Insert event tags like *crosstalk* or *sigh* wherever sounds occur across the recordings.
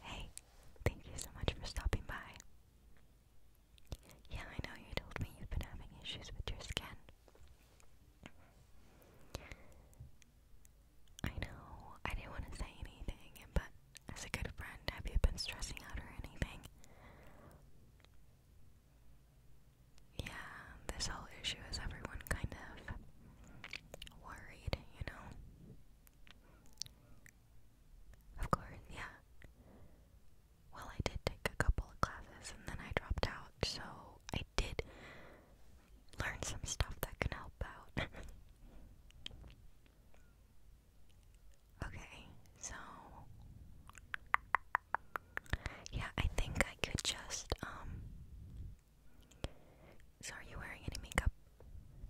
Hey, thank you so much for stopping by. Yeah, I know you told me you've been having issues with your skin. I know, I didn't want to say anything, but as a good friend, have you been stressing out or anything? Yeah, this whole issue is everyone kind of worried, you know? Of course, yeah. Well, I did take a couple of classes and then I dropped out, so I did learn some stuff that can help out. *laughs* okay, so. Yeah, I think I could just, um. So, are you wearing any makeup?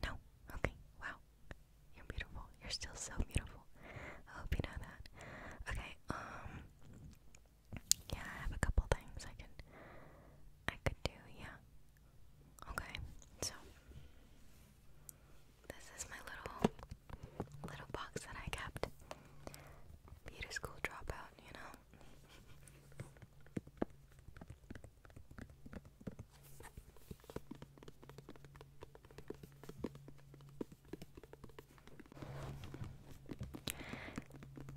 No? Okay, wow. You're beautiful. You're still so beautiful. I hope you know that. Okay, um. Yeah, I have a couple things I can. I could do, yeah. Okay, so. This is my little. Little box that I kept. Beauty school dropout, you know?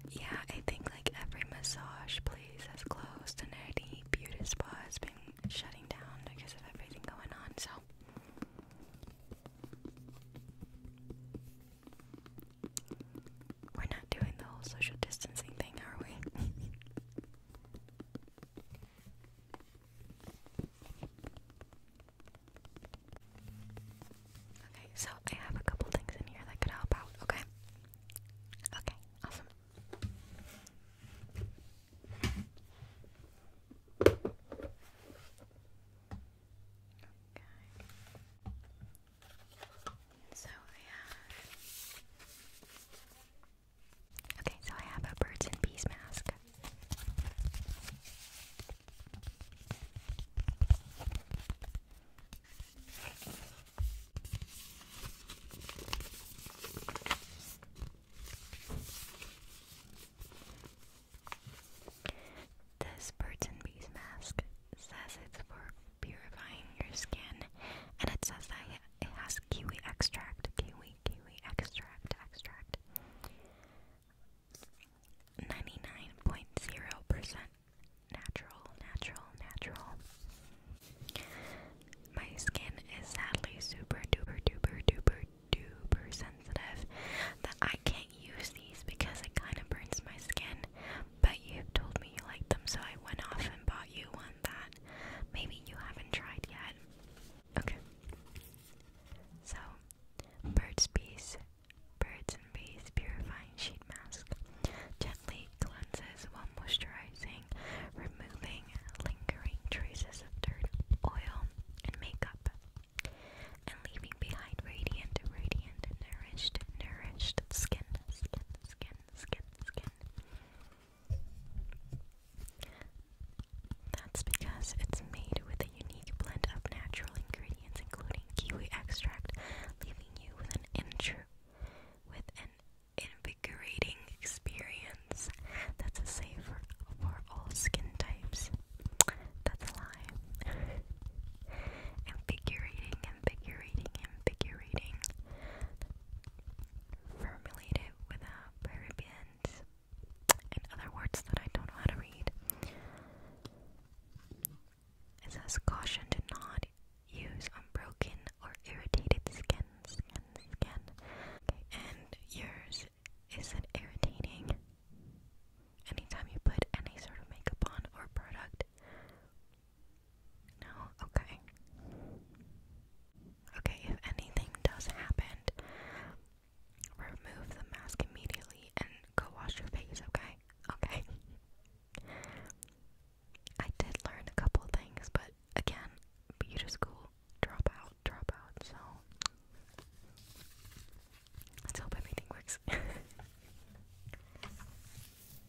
Yeah, I think like every massage place has closed and any beauty spa has been shutting down because of everything going on, so we're not doing the whole social distancing thing, are we? okay, so I have a couple things in here that could help out, okay? Okay, awesome. Okay. So I Okay, so I have a birds and bees mask. This birds and bees mask says it's for purifying your skin. And it says that it has kiwi extract, kiwi, kiwi extract, extract. 99.0% natural, natural, natural. My skin is sadly super duper duper duper duper sensitive that I can't use these because it kind of burns my skin but you told me you like them, so I went off and bought you one that maybe you haven't tried yet. Okay. So, Bird's Bees, Birds and Bees Purifying Sheet Mask. Gently cleanses moisturizing, removing lingering traces of dirt, oil, and makeup, and leaving behind radiant, radiant, and nourished, nourished skin, skin, skin, skin, skin. That's because it's made with a unique blend of natural ingredients, including kiwi extract, leaving you with an intro, with an invigorating experience that's a safe for all skin types. That's a lie. *laughs* invigorating, invigorating, invigorating. Formulate without parabens and other words that I don't know how to read. It says caution to not use unbroken or irritated skin, and yours is not irritating? Anytime you put any sort of makeup on or product, no? Okay. Okay, if anything does happen, remove the mask immediately and go wash your face, okay? Okay. *laughs* I did learn a couple things, but again, beauty school, drop out, so let's hope everything works. *laughs*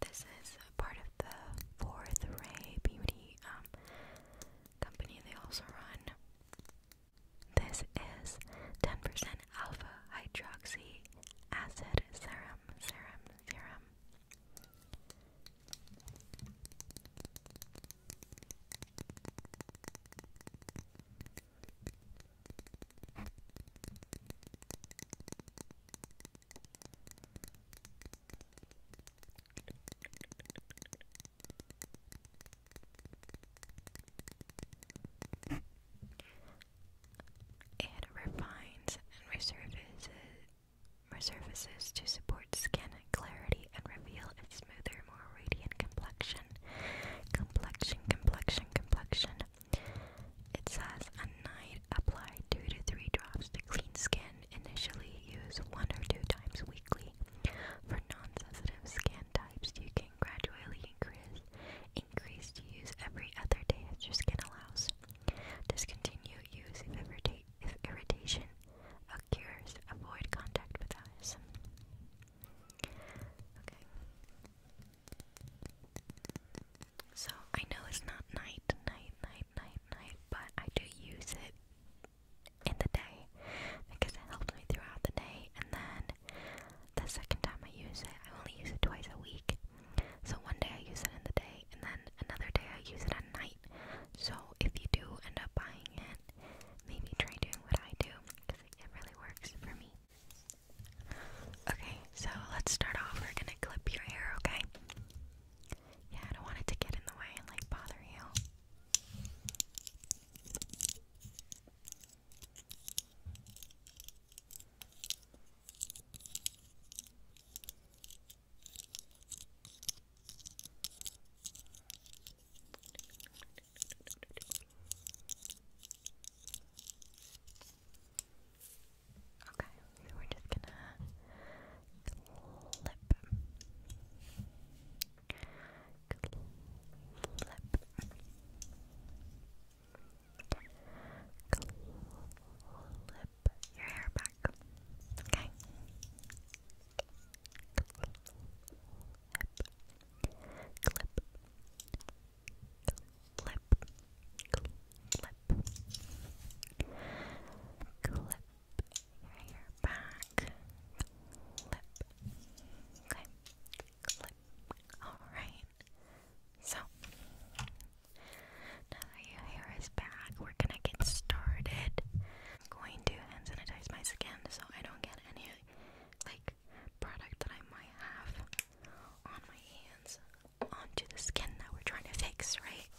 This is part of the Fourth Ray Beauty um, company they also run. This is 10% alpha hydroxy acid serum, serum, serum. It refines and resurfaces resurfaces to support skin clarity and reveal a smoother, more radiant complexion. Complexion, complexion, complexion. It says a night apply two to three drops to clean skin. Initially use one or two times weekly. For non-sensitive skin types, you can gradually increase increase use every other day if your skin allows. Discontinue use if irritation occurs. Avoid contact with eyes. Okay. So I know it's not night, night, night, night, night, but I do use it in the day because it helps me throughout the day. And then the second time I use it, I only use it twice a week. So one day I use it in the day, and then another day I use it at night. So if you do end up buying it, maybe try doing what I do because it really works for me. Okay, so let's start off. We're gonna clip your hair, okay? Yeah, I don't want it to get in the way and like bother you. Okay, so we're just gonna clip, clip, clip your hair back. Okay. clip, clip clip, clip, clip hair back, clip, okay, clip, alright, so, now that your hair is back, we're gonna get started, I'm going to hand sanitize my skin so I don't get any, like, product that I might have on my hands onto the skin that we're trying to fix, right?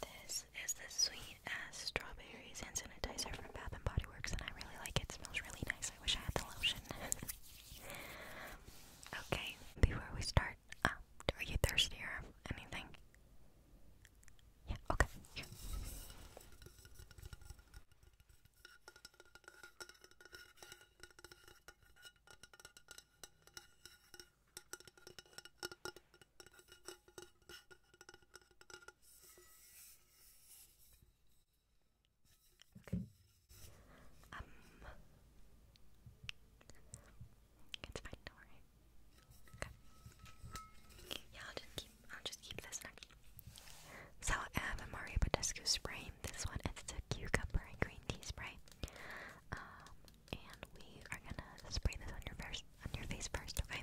This is the sweet ass strawberries hand sanitizer from Bath and Body Works, and I really like it smells really nice. I wish I had the lotion. *laughs* okay, before we start, uh, are you thirsty or anything? Yeah, okay. Okay. Um, it's fine, don't worry this one. So I have a Mario Badescu spray. This one it's a cucumber and green tea spray. Um, and we are gonna spray this on your face first, okay?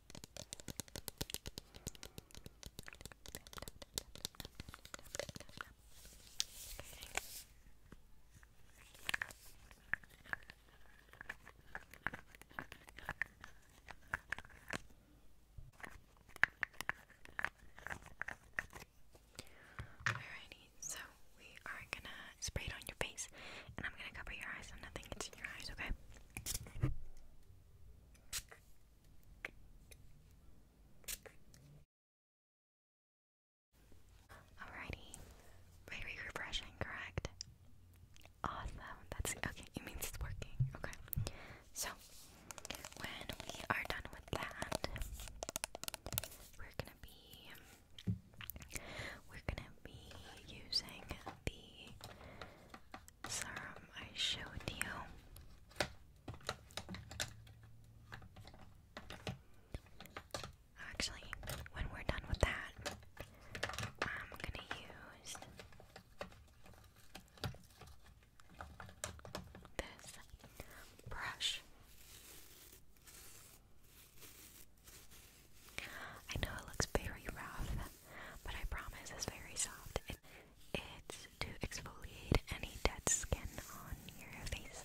Alrighty, so we are gonna spray it on your face, and I'm gonna cover your eyes so nothing gets in your eyes, okay? Alrighty. Very refreshing, correct? Awesome. That's okay. It means it's working. Okay. So, when we are done with that, we're gonna be we're gonna be using the serum I showed you. Actually, when we're done with that, I'm gonna use this brush. I know it looks very rough, but I promise it's very soft. it's to exfoliate any dead skin on your face.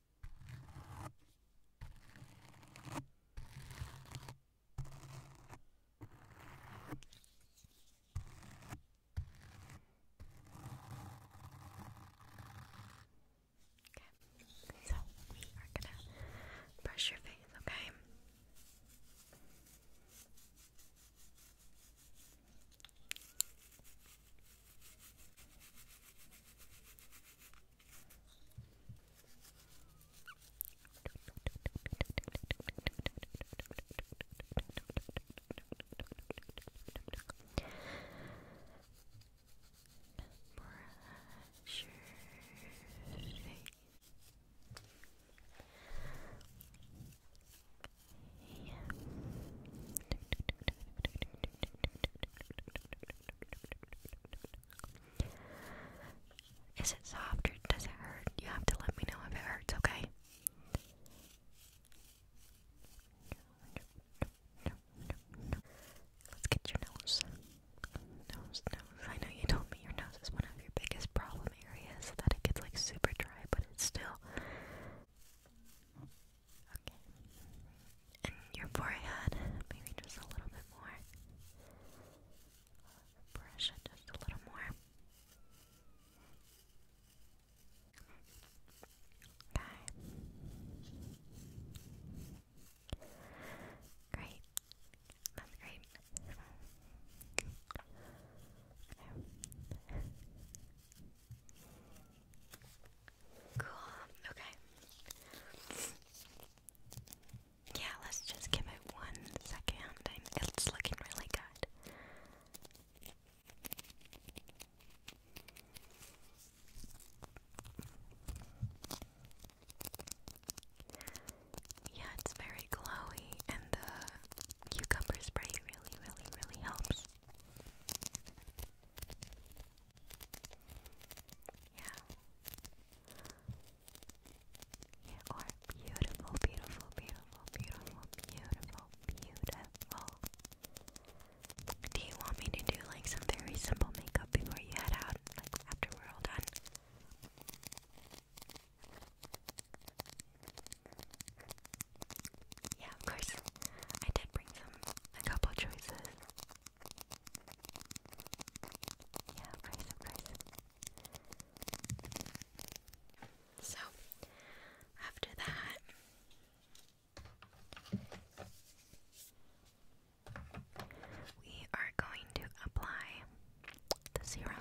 so we are gonna brush your face, okay? Brush your face. Is it soft or does it hurt? You have to let me know if it hurts, okay? Let's get your nose. Nose, nose. I know you told me your nose is one of your biggest problem areas, that it gets like super dry, but it's still. Okay. And your forehead, maybe just a little bit more. Brush it just a little more. Okay. Great. That's great. Cool. Okay. Yeah, let's just give it one second. It's looking really good. Yeah, it's very glowy, and the cucumber spray really, really, really helps. Yeah. Yeah, or beautiful, beautiful, beautiful, beautiful, beautiful, beautiful. Do you want me to do like some very simple makeup before you head out? Like after we're all done? Yeah, of course. I did bring some a couple choices. Yeah, of course, of course. So after that we are going to apply the serum.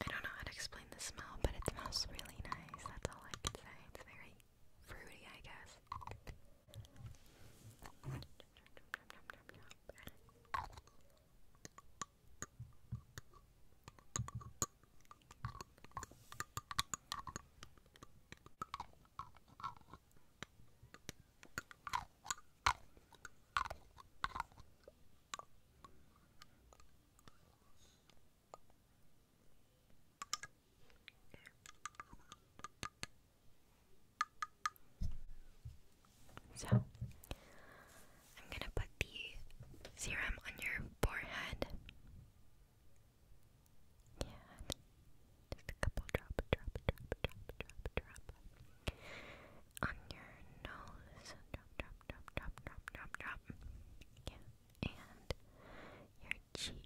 I don't know how to explain the smell, but it smells really nice. That's all I can say. It's very fruity, I guess. So, I'm going to put the serum on your forehead. Yeah. Just a couple drop, drop, drop, drop, drop, drop. On your nose. Drop, drop, drop, drop, drop, drop, Yeah. And your cheek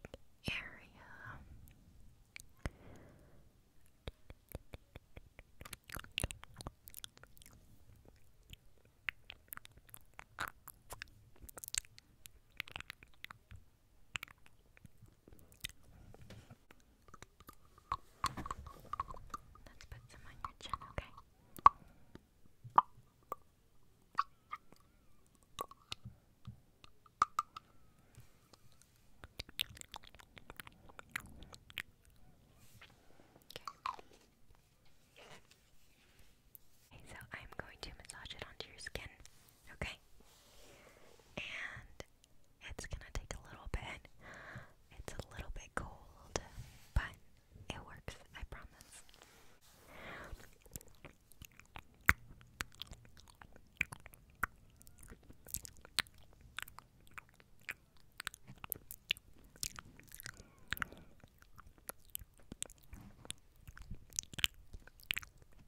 area. Let's put some on your chin, okay? Okay. so I'm going to massage it onto your skin, okay? And it's gonna take a little bit. It's a little bit cold, but it works, I promise.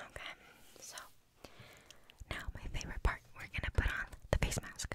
Okay, so now my favorite part, we're gonna put on the face mask.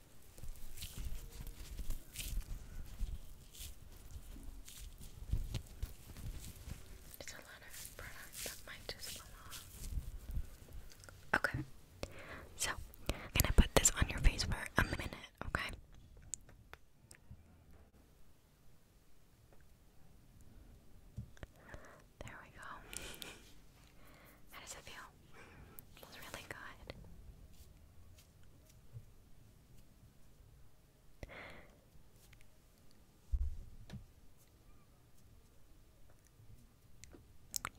There's a Okay, so gonna put this on your face for a minute, okay? There we go. How does it feel? feels really good.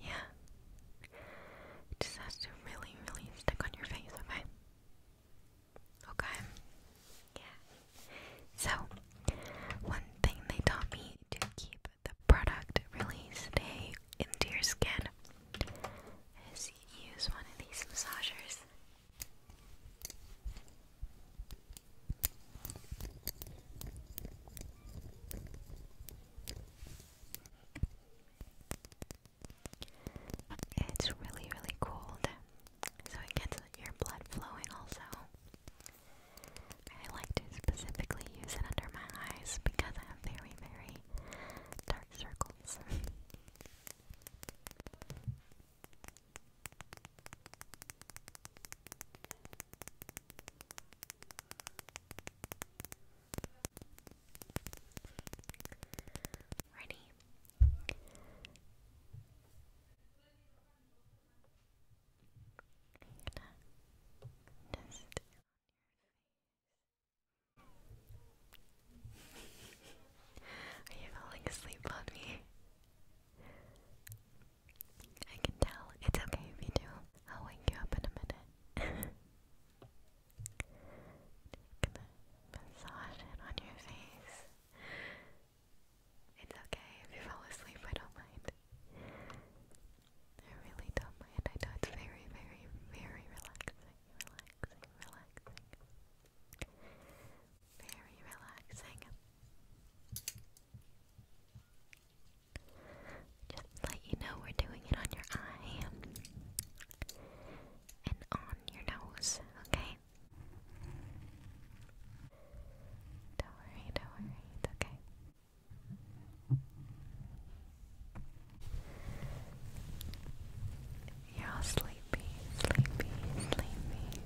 Yeah. It just has to really, really stick on your face, okay? Okay. Yeah. So, one thing they taught me to keep the product really stay into your skin use one of these massagers. It's really, really cold, so it gets your blood flowing also. I like to specifically use it under my eyes because I have very, very dark circles circles. Ready? Just on your face. *laughs* Are you falling asleep on me? I can tell. It's okay if you do. I'll wake you up in a minute. *laughs* massage it on your face. It's okay if you fall asleep, I don't mind. I really don't mind. I know it's very, very, very relaxing relaxing, relaxing. Very relaxing. Just let you know we're doing it on your eye and on your nose, okay? Don't worry, don't worry, it's okay. You're sleepy, sleepy, sleepy, sleepy.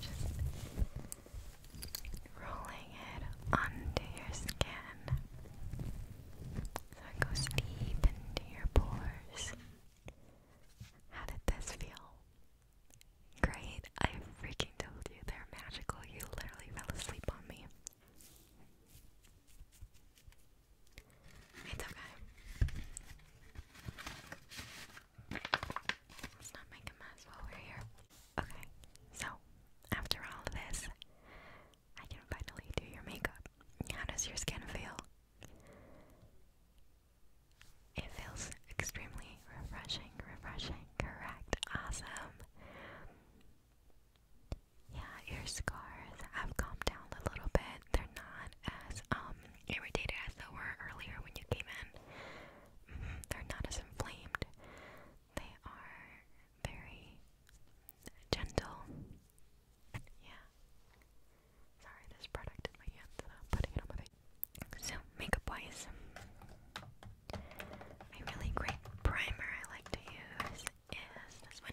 just rolling under your skin so it goes deep into your pores. How did this feel? Great, I freaking told you they're magical. You literally fell asleep on me. It's okay. Let's not make a mess while we're here. Okay, so after all of this, I can finally do your makeup. How does your skin feel? It feels extremely refreshing, refreshing, correct, awesome. Yeah, your scars have calmed down a little bit. They're not as um irritated as they were earlier when you came in. Mm-hmm, they're not as inflamed. They are very gentle. Yeah. Sorry, this product So I'm So, makeup wise, a really great primer I like to use is this one.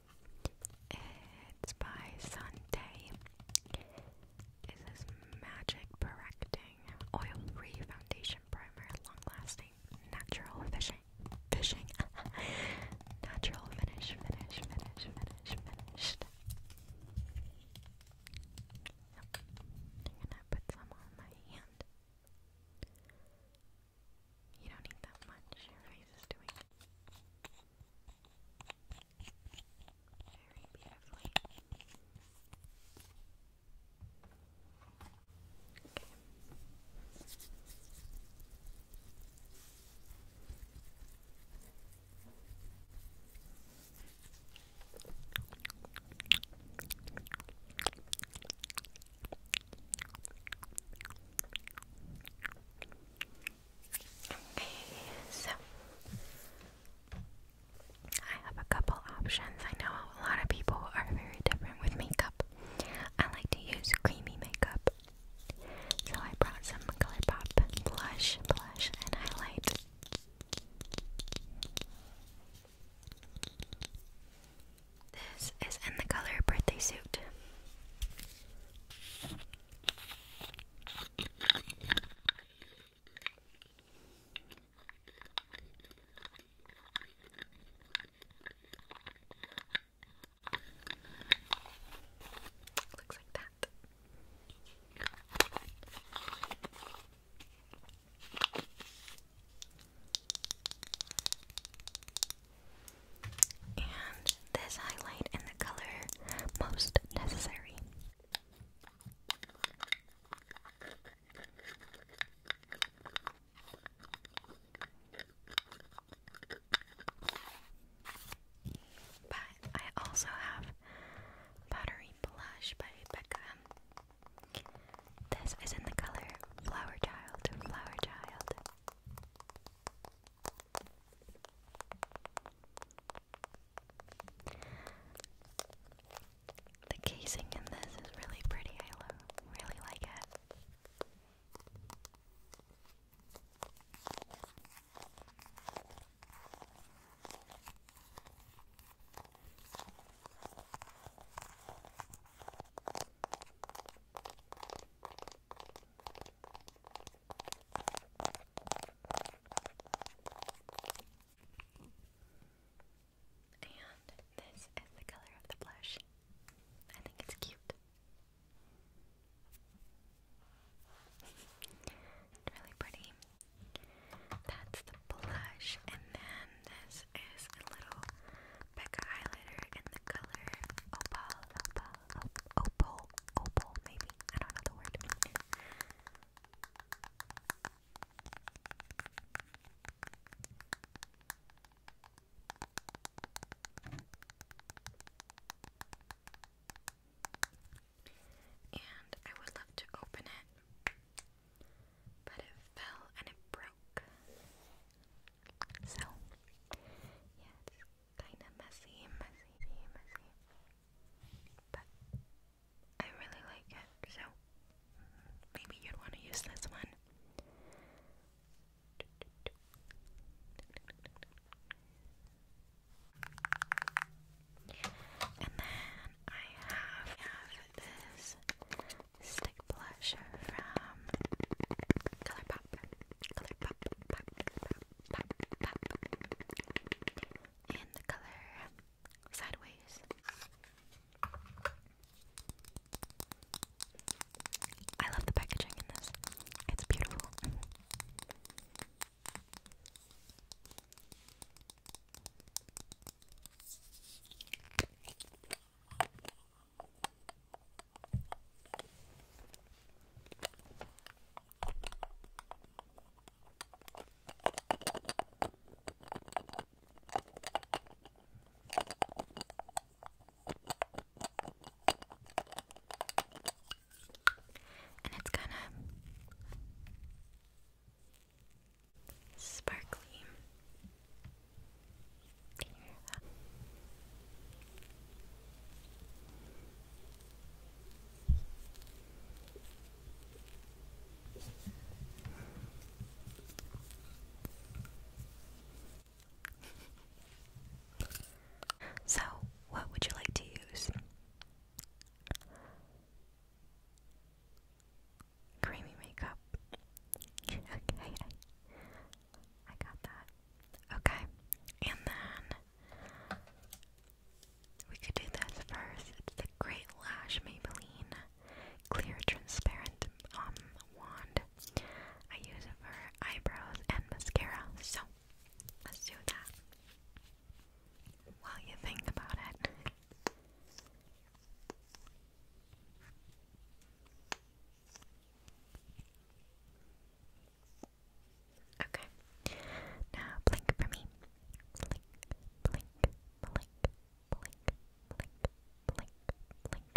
It's by Sunday. This Magic Correcting Oil Free Foundation Primer Long Lasting Natural Fishing Fishing *laughs* Natural Finish Finish Finish Finish Finished. I'm gonna put some on my hand. You don't need that much, your face is doing very beautifully. Okay, so I have a couple options. I know a lot of people are very different with makeup. I like to use creamy makeup. So I brought some Color blush, blush, and highlight. This is in the color birthday suit. Looks like that and this highlight in the color most necessary. But I also have Buttery Blush by Beckham. This is in the color Flower Child, Flower Child. The casing in this is really pretty, I really like it. And this is the color of the blush. I think it's cute. it's really pretty. That's the blush, and then this is a little Becca highlighter in the color opal, opal, opal, opal, maybe. I don't know the word. And I would love to open it, but it fell and it broke. So, yeah, it's kind of messy, messy, messy, but I really like it, so maybe you'd want to use this one. And then I have, I have this stick blush from Color Pop. In the color Sideways. I love the packaging in this. It's beautiful. And it's kind of sparkly so, what would you like to use? Creamy makeup. okay. *laughs* I got that. Okay, and then we could do this first. It's the Great Lash Maybelline Clear Transparent um Wand. I use it for eyebrows and mascara, so let's do that while you think about it. Okay. Now blink for me. Blink, blink, blink, blink, blink, blink, blink.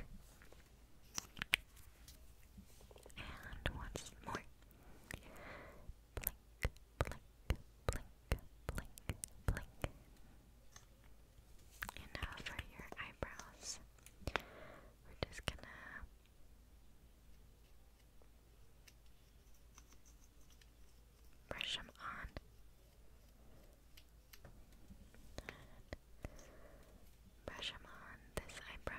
And once more. Blink, blink, blink, blink, blink. And now for your eyebrows, we're just gonna brush them on. brush them on this eyebrow.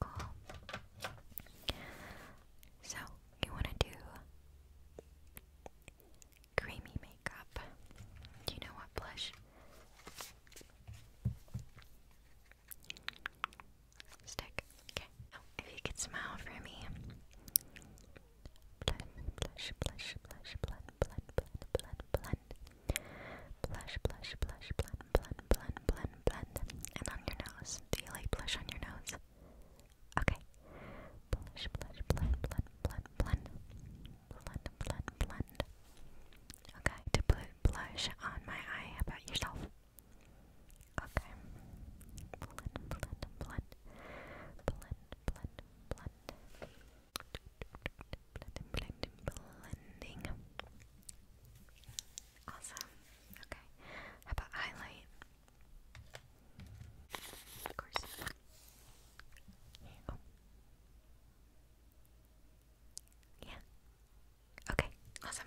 Cool. So, you want to do creamy makeup. Do you know what blush? Stick. Okay. if you could smile for me. Blend, blush, blush, blush, blend, blend, blend, blend, blend. Blush, blush, blush, blend, blend, blend, blend, And on your nose. Do you like blush on your nose? Okay. Blush, blush, blend, blend, blend, blend. Blend, blend, blend. Okay, to put blush on my eye. about yourself? Okay. Blend, blend, blend. Blend, blend, blend. Blending, blending, blending. Awesome. Okay. How about highlight? Of course. Oh. Yeah. Okay. Awesome.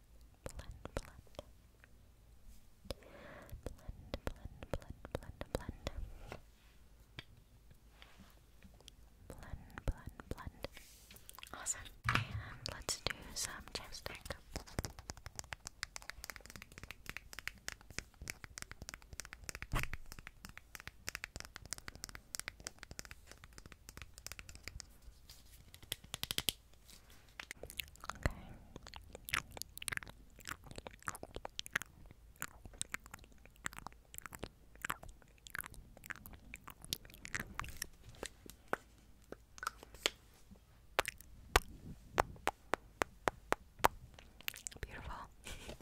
blend, blend. Blend, blend, blend, blend, blend. Blend, blend, Awesome. And let's do some chapstick. Beautiful. *laughs*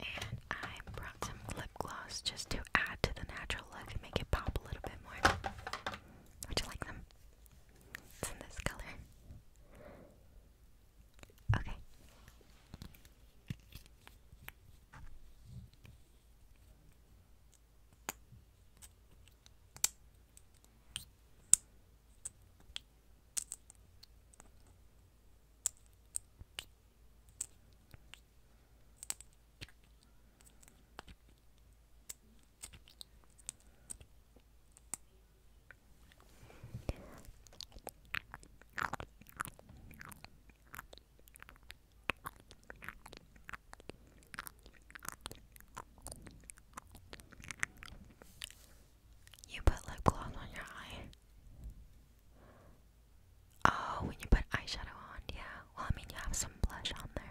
and I brought some glue gloss just to add to the natural look and make it pop a little bit more. Would you like them? It's in this color. Okay. You put lip gloss on your eye. Oh, when you put eyeshadow on, yeah. Well, I mean, you have some blush on there.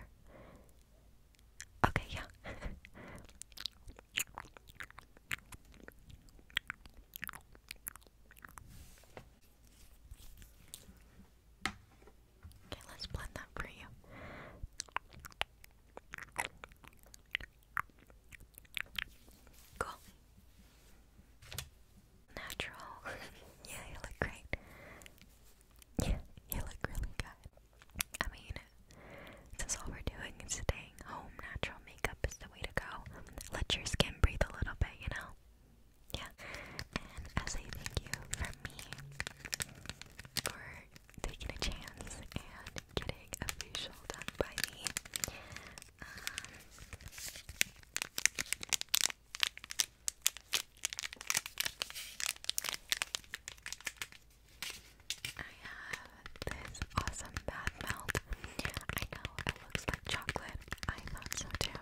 Okay, yeah. *laughs* okay, let's blend that for you. Cool natural. *laughs* yeah, you look great. Yeah, you look really good. I mean, since all we're doing is staying home, natural makeup is the way to go. Let your skin breathe a little bit, you know? Yeah. And as a thank you from me for taking a chance and getting a facial done by me, um, I have this awesome bath melt. I know it looks like chocolate. I thought so too.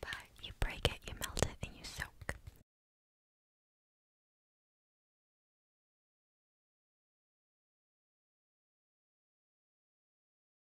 But you break it, you melt it, and you soak.